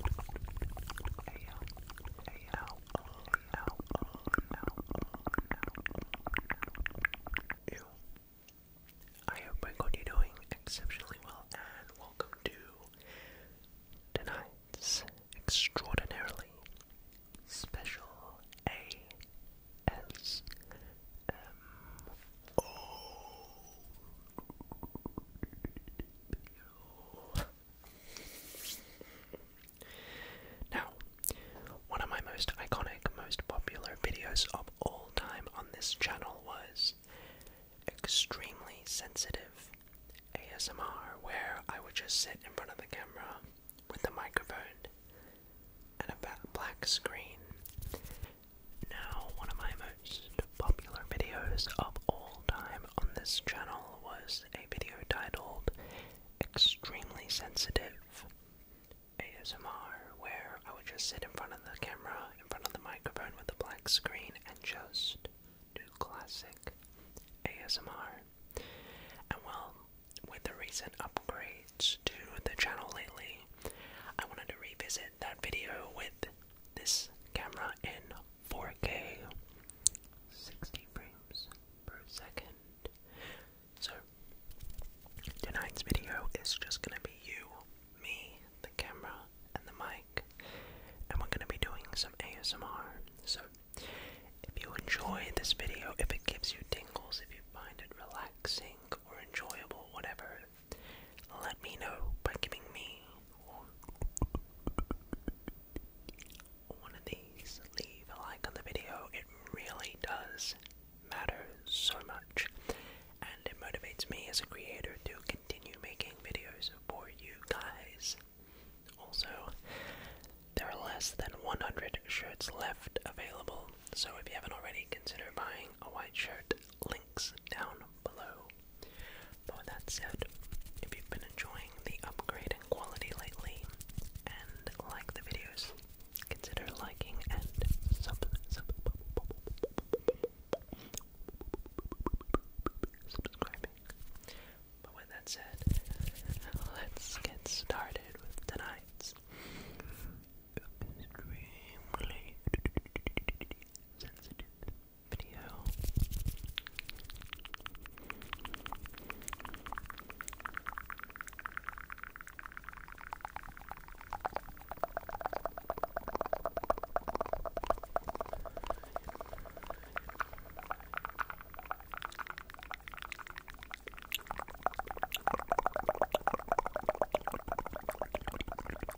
Ew. I hope my God you're doing exceptionally well and welcome to tonight's extraordinarily special ASMR now, one of my most iconic, most popular videos of all time on this channel was extremely sensitive ASMR, where I would just sit in front of the camera with the microphone and a black screen now, one of my most popular videos of all time on this channel was a video titled Extremely Sensitive ASMR, where I would just sit in front of the camera, in front of the microphone with a black screen, and just do classic ASMR. And well, with the recent upgrades to the channel lately, I wanted to revisit that video with this camera in 4K, 60 frames per second. So, tonight's video is just gonna be you, me, the camera, and the mic, and we're gonna be doing some ASMR. So, if you enjoy this video, if it gives you tingles, if you find it relaxing or enjoyable, whatever, let me know by giving me one of these. Leave a like on the video. It really does matter so much. And it motivates me as a creator to continue making videos for you guys. Also, there are less than 100 shirts left available, so if you haven't already, consider buying a white shirt, links down below. But with that said, if you've been enjoying the upgrade in quality lately and like the videos, consider liking and subscribing. But with that said, let's get started with tonight's extremely sensitive, sensitive video.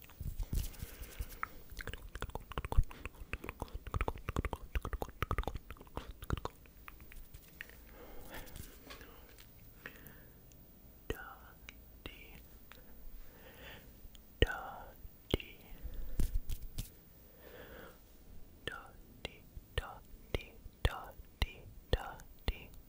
Dotty, dotty, dotty, dotty,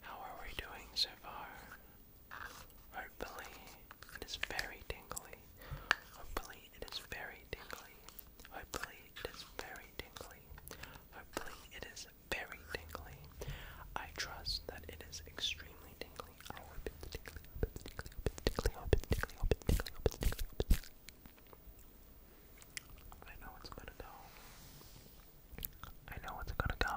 How are we doing so far? Hopefully, it is very tingly. Hopefully, it is very very tingly. Hopefully it is very tingly. Hopefully it is very tingly. I trust that it is extremely tingly. I hope it's tingly, hope it's tingly, hope it's tingly, hope it's tingly, hope it's tingly, hope it's tingly, hope it's tingly. I know it's gonna go. I know it's gonna go.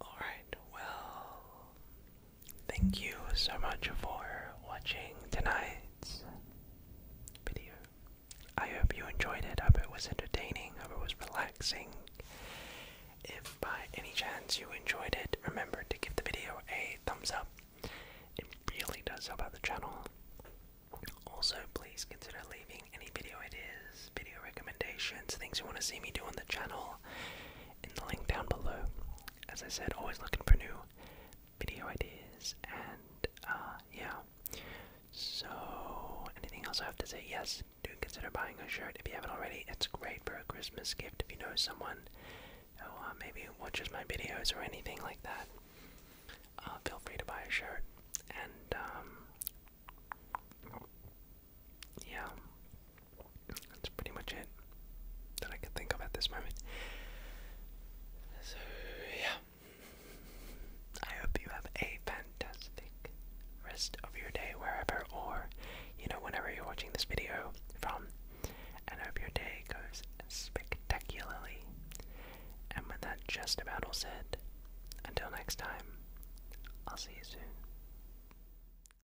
All right, well, Thank you so much for watching tonight's video. I hope you enjoyed it. I hope it was entertaining. I hope it was relaxing. If by any chance you enjoyed it, remember to give the video a thumbs up. It really does help out the channel. Also, please consider leaving any video ideas, video recommendations, things you want to see me do on the channel in the link down below as I said, always looking for new video ideas, and uh, yeah. So, anything else I have to say? Yes, do consider buying a shirt if you haven't already. It's great for a Christmas gift if you know someone who uh, maybe watches my videos or anything like that. Uh, feel free to buy a shirt, and um, yeah, that's pretty much it that I could think of at this moment. So, yeah. I hope you have a fantastic rest of your day wherever or, you know, whenever you're watching this video from. And hope your day goes spectacularly. And with that just about all said, until next time, I'll see you soon.